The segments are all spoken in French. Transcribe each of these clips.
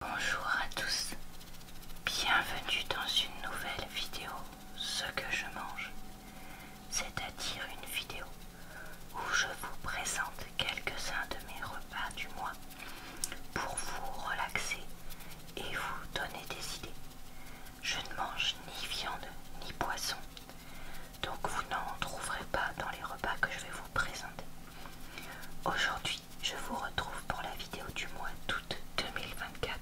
Bonjour à tous, bienvenue dans une nouvelle vidéo Ce que je mange, c'est-à-dire une vidéo où je vous présente quelques-uns de mes repas du mois pour vous relaxer et vous donner des idées. Je ne mange ni viande ni poisson, donc vous n'en trouverez pas dans les repas que je vais vous présenter. Aujourd'hui, je vous retrouve pour la vidéo du mois d'août 2024,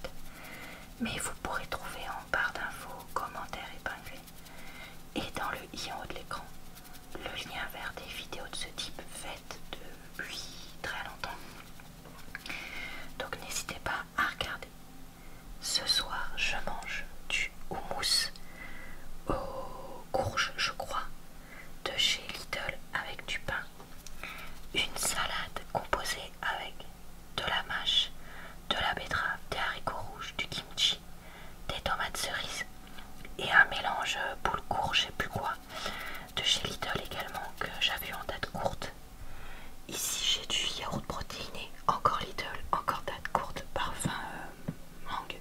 mais vous pourrez trouver en barre d'infos, commentaires épinglés et dans le i en haut de l'écran le lien vers des vidéos de ce type faites depuis très longtemps. Donc n'hésitez pas à regarder. Ce soir, je mange du houmous aux courges, je crois, de chez Little avec du pain, une salade composée avec de la mâche, de la betterave, des haricots rouges, du kimchi, des tomates cerises et un mélange boule court, je sais plus quoi, de chez Little également que j'avais en date courte. Ici j'ai du yaourt protéiné, encore Little encore date courte, parfum euh, mangue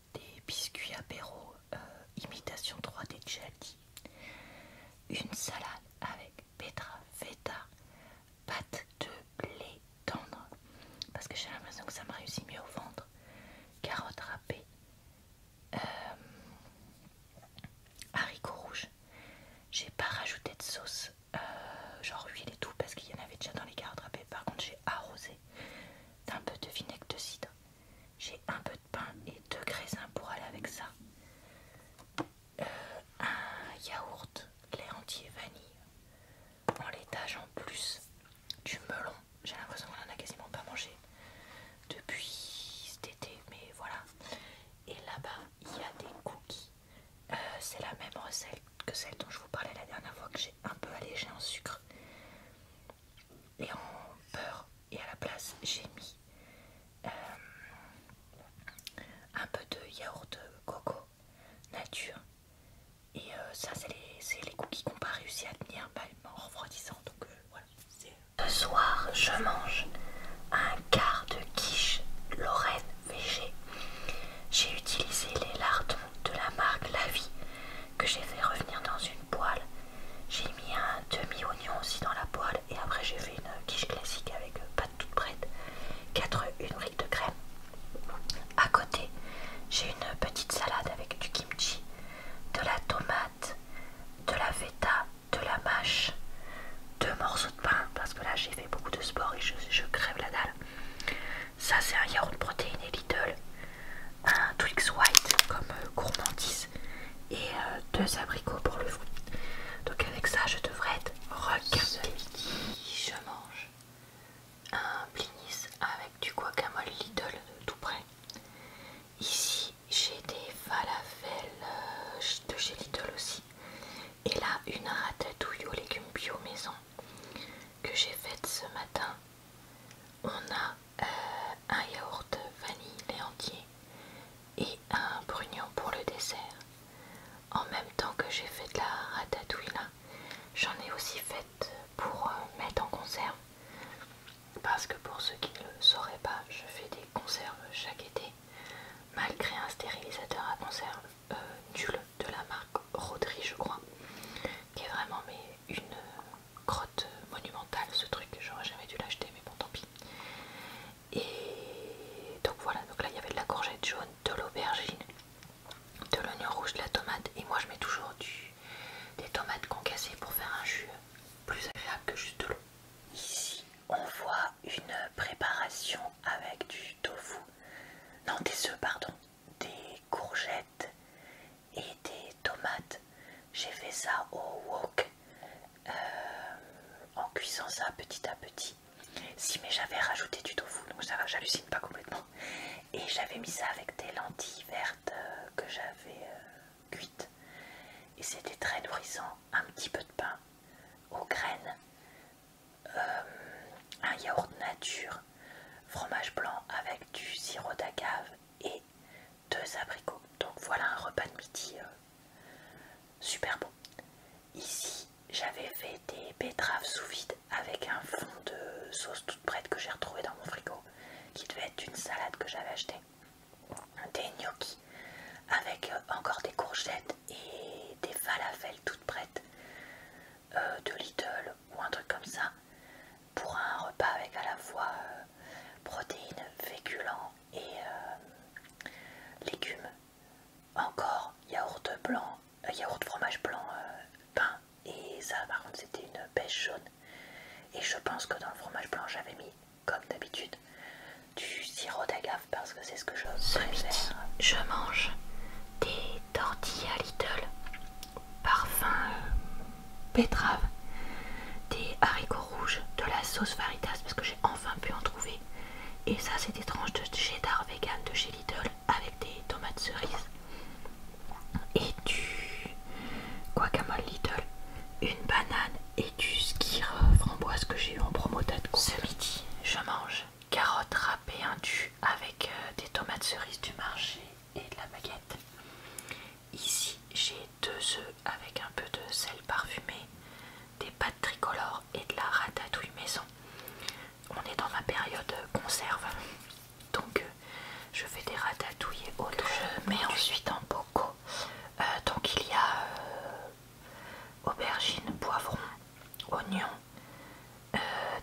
des biscuits apéro euh, imitation 3D de une salade avec pétra, feta, pâte de blé tendre, parce que j'ai l'impression que ça m'a réussi mieux au ventre, carottes râpées, euh, haricots rouges. J'ai pas rajouté de sauce, euh, genre huile et tout, parce qu'il y en avait déjà dans les carottes râpées. Par contre, j'ai arrosé un peu de vinaigre de cidre. J'ai un peu de pain et deux raisins pour aller avec ça. Euh, un yaourt, lait entier, vanille, en l'étage en plus, du melon. J'ai l'impression qu'on en a quasiment pas mangé depuis cet été, mais voilà. Et là-bas, il y a des cookies. Euh, c'est la même recette que celle dont je vous parlais la dernière fois que j'ai un peu allégé en sucre et en beurre et à la place j'ai mis euh, un peu de yaourt coco nature et euh, ça c'est les, les qui n'ont pas réussi à tenir bah, en refroidissant donc euh, voilà ce soir je mange un quart de quiche lorraine végé j'ai utilisé les lardons de la marque La Vie que j'ai fait revenir dans une poêle. J'ai mis un demi-oignon aussi dans la poêle et après j'ai fait une quiche classique avec euh, pâte toute prête, 4 œufs, une brique de crème. À côté, j'ai une petite salade avec du kimchi, de la tomate, de la feta, de la mâche, deux morceaux de pain parce que là j'ai fait beaucoup de sport et je crève la dalle. Ça, c'est un yaourt protéiné Lidl. Un Twix White comme euh, gourmandise. Et euh, deux abricots pour le fruit. Donc, avec ça, je devrais être rock. je mange un blinis avec du guacamole Lidl tout près. Ici, j'ai des falafels euh, de chez Lidl aussi. Et là, une ratatouille aux légumes bio maison que j'ai faite ce matin. On a euh, un yaourt vanille lait entier et un brugnon pour le dessert. En même temps que j'ai fait de la ratatouille là, j'en ai aussi faite pour euh, mettre en conserve. Parce que pour ceux qui ne le sauraient pas, je fais des conserves chaque été malgré un stérilisateur à conserve nul euh, de la marque Rodri je crois qui est vraiment mais une grotte euh, euh, monumentale ce truc j'aurais jamais dû l'acheter mais bon tant pis et donc voilà donc là il y avait de la courgette jaune de l'aubergine de l'oignon rouge de la tomate et moi je mets toujours du, des tomates concassées pour faire un jus plus agréable que juste de l'eau ici on voit une préparation avec du tofu, non des œufs pardon, des courgettes et des tomates. J'ai fait ça au wok euh, en cuisant ça petit à petit. Si mais j'avais rajouté du tofu, donc ça va, j'hallucine pas complètement. Et j'avais mis ça avec des lentilles vertes euh, que j'avais euh, cuites. Et c'était très nourrissant, un petit peu de pain aux graines euh, un yaourt nature, fromage blanc avec du sirop d'agave et deux abricots. Donc voilà un repas de midi euh, super bon. Ici, j'avais fait des betteraves sous vide avec un fond de sauce toute prête que j'ai retrouvé dans mon frigo, qui devait être une salade que j'avais achetée. Des gnocchi avec euh, encore des courgettes et des falafels toutes prêtes euh, de Lidl ou un truc comme ça pour un repas avec à la fois euh, protéines, féculents et euh, légumes. Encore yaourt blanc, yaourt fromage blanc, pain et ça par contre c'était une pêche jaune. Et je pense que dans le fromage blanc j'avais mis comme d'habitude du sirop d'agave parce que c'est ce que je je mange des tortillas Little, parfum pétrave, euh, des haricots rouges, de la sauce Varitas parce que j'ai enfin pu en trouver. Et ça, c'est des tranches de cheddar vegan de chez Lidl avec des tomates cerises et du guacamole Lidl, une banane et du skir framboise que j'ai eu en promo Ce midi, je mange carottes râpées indues avec euh, des tomates cerises du marché et de la baguette. Ici, j'ai deux œufs avec un peu de sel parfumé, des pâtes tricolores et de la ratatouille maison. On est dans ma période conserve, donc euh, je fais des ratatouilles et autres. Je euh, mets ensuite en bocaux. donc il y a aubergines, poivrons poivron, oignons, euh,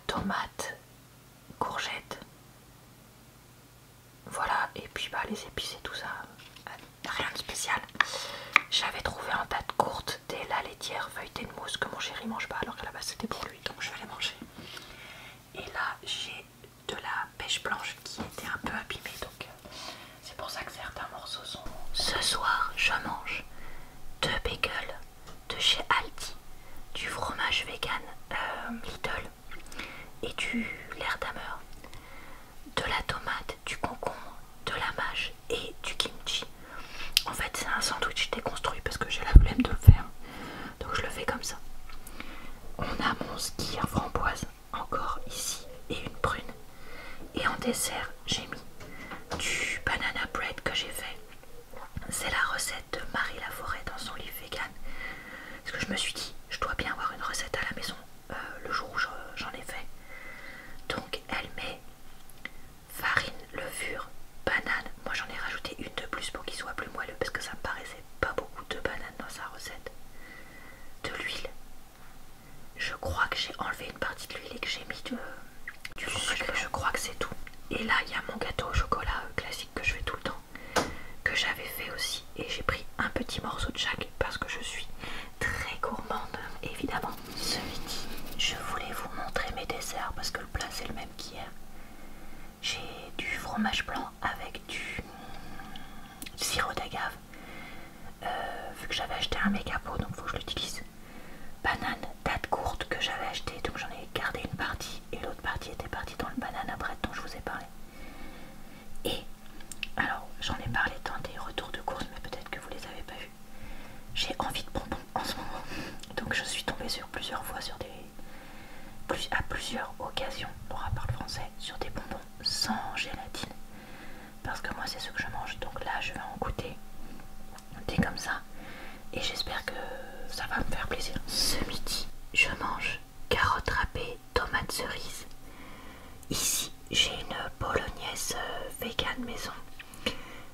tomates, courgettes. Voilà, et puis bah, les épices et tout ça, euh, rien de spécial. J'avais trouvé un tas de courte des la laitière feuilletée de mousse que mon chéri mange pas, alors que la base c'était pour lui, donc je vais les manger. Et là, j'ai de la pêche blanche qui était un peu abîmée, euh, c'est pour ça que certains morceaux sont... Ce soir, je mange deux bagels de chez Aldi, du fromage vegan Little euh, Lidl et du l'Erdammer, de la tomate, du concombre, de la mâche et du kimchi. En fait, c'est un sandwich déconstruit parce que j'ai la flemme de le faire, donc je le fais comme ça. On a mon skier framboise encore ici et une prune. Et en dessert, j'ai mis du banana bread que j'ai fait. C'est la recette de Marie Laforêt dans son livre vegan. Parce que je me suis dit, je dois bien avoir une recette à la maison euh, le jour où j'en ai fait. Donc elle met farine, levure, banane. Moi j'en ai rajouté une de plus pour qu'il soit plus moelleux parce que ça me paraissait pas beaucoup de banane dans sa recette. De l'huile, je crois que j'ai enlevé une partie de l'huile que j'ai mis du sucre. Je crois que c'est tout. Et là, il y a mon gâteau au chocolat euh, classique que je fais tout le temps, que j'avais fait aussi. Et j'ai pris un petit morceau de chaque parce que je suis très gourmande, évidemment. Ce midi, je voulais vous montrer mes desserts parce que le plat c'est le même qu'hier. J'ai du fromage blanc avec du sirop d'agave euh, vu que j'avais acheté un méga pot, donc faut que je l'utilise. Banane, date courte que j'avais acheté, donc j'en ai gardé une partie et l'autre partie était partie dans le banane à dont je vous ai parlé. Et alors, j'en ai parlé dans des retours de course, mais peut-être que vous les avez pas vus. J'ai envie de bonbons en ce moment, donc je suis tombée sur plusieurs fois sur des à plusieurs occasions, pour parle français, sur des bonbons sans gélatine parce que moi c'est ce que je mange donc là je vais en goûter des comme ça et j'espère que ça va me faire plaisir ce midi je mange carottes râpées tomates cerises ici j'ai une bolognaise euh, vegan maison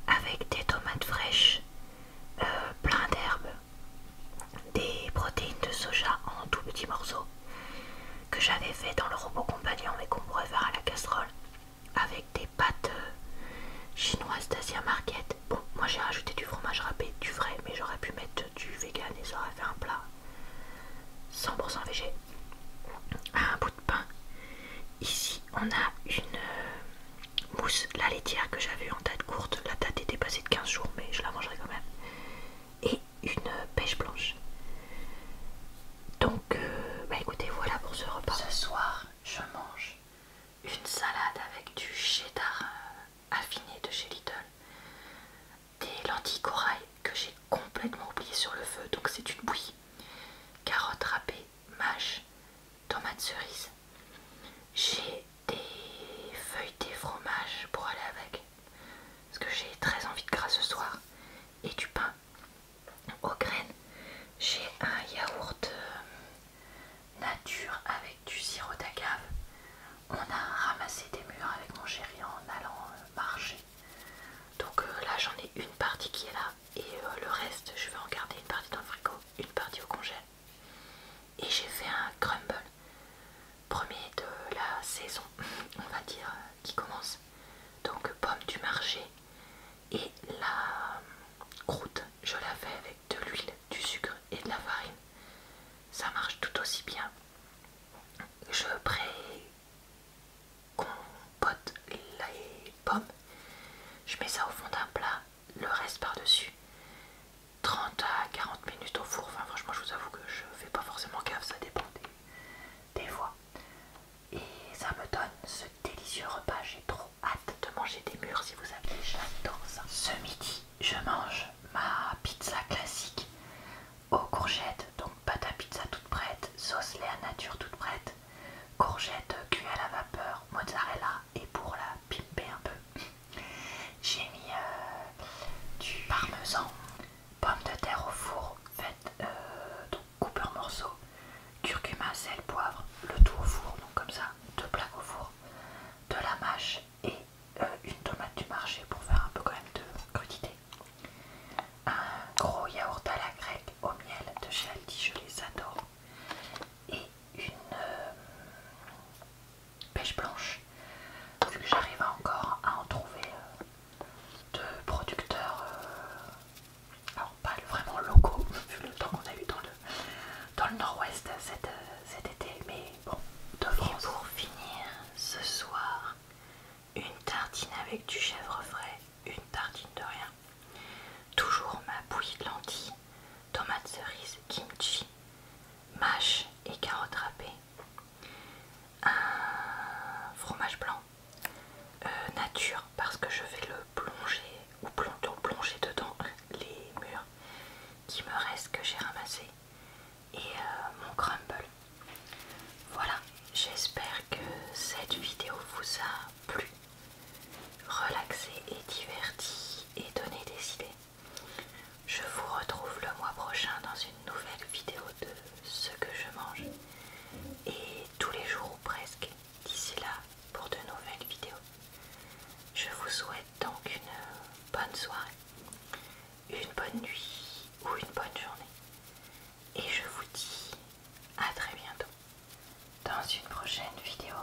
avec des tomates fraîches euh, plein d'herbes des protéines de soja en tout petits morceaux que j'avais fait dans le robot compagnon mais qu'on pourrait faire à la casserole avec des pâtes euh, chinoises d'Asia Market. Bon, moi j'ai rajouté du fromage râpé, du vrai, mais j'aurais pu mettre du vegan et ça aurait fait un plat 100% végé. Un bout de pain. Ici, on a une euh, mousse, la laitière que j'avais en date courte. La date était passée de 15 jours, mais je la mangerai quand même une pêche blanche. Donc, euh, bah écoutez, voilà pour ce repas. Ce soir, je mange une salade avec du cheddar euh, affiné de chez Little, des lentilles corail que j'ai complètement oublié sur le feu, donc c'est une bouillie, carottes râpées, mâches, tomates cerises. J'ai des feuilles de fromage pour aller avec, parce que j'ai très envie de gras ce soir et du pain aux graines. J'ai un yaourt euh, nature avec du sirop d'agave. On a ramassé des murs avec mon chéri en allant euh, marcher. Donc euh, là j'en ai une partie qui est là et le reste je vais en garder une partie dans le frigo, une partie au congé. Et j'ai fait un crumble Premier de la saison, on va dire, qui commence. Donc pomme du marché et la croûte, je la fais avec de l'huile, du sucre et de la farine. Ça marche tout aussi bien. Je pré-compote les pommes. Je mets ça au fond d'un plat, le reste par-dessus. 30 à 40 minutes au four. Enfin, franchement, je vous avoue que je fais pas forcément gaffe, ça dépend des, voix. fois. Et ça me donne ce délicieux repas. J'ai trop hâte de manger des murs si vous avez j'adore ça. Ce midi, je mange ma pizza classique aux courgettes. Donc, pâte à pizza toute prête, sauce lait à nature toute prête, courgettes cuites à la vapeur, mozzarella et pour la pimper un peu. J'ai mis euh, du parmesan, pommes de terre au four, faites euh, donc coupé en morceaux, curcuma, sel, poivre, le tout au four, donc comme ça, deux plaques au four, de la mâche et euh, une tomate du marché pour faire un peu quand même de crudité. Un gros yaourt à la grecque au miel de chez je les adore. Et une pêche blanche vu que j'arrive encore à en trouver euh, de producteurs euh, alors pas vraiment locaux vu le temps qu'on a eu dans le, nord-ouest euh, cet, été mais bon de pour finir ce soir une tartine avec du chèvre frais une tartine de rien toujours ma bouillie de lentilles tomates cerises kimchi mâche et carottes râpées un fromage blanc euh, nature parce que je vais le plonger ou plonger dedans les murs qui me restent que j'ai ramassé et euh, mon crumble. Voilà, j'espère que cette vidéo vous a plu, relaxé et diverti et donné des idées. Je vous retrouve le mois prochain dans une nouvelle vidéo de ce que je mange et tous les jours ou presque d'ici là pour de nouvelles vidéos. Je vous souhaite donc une bonne soirée, une bonne nuit ou une bonne journée et je vous dis à très bientôt dans une prochaine vidéo.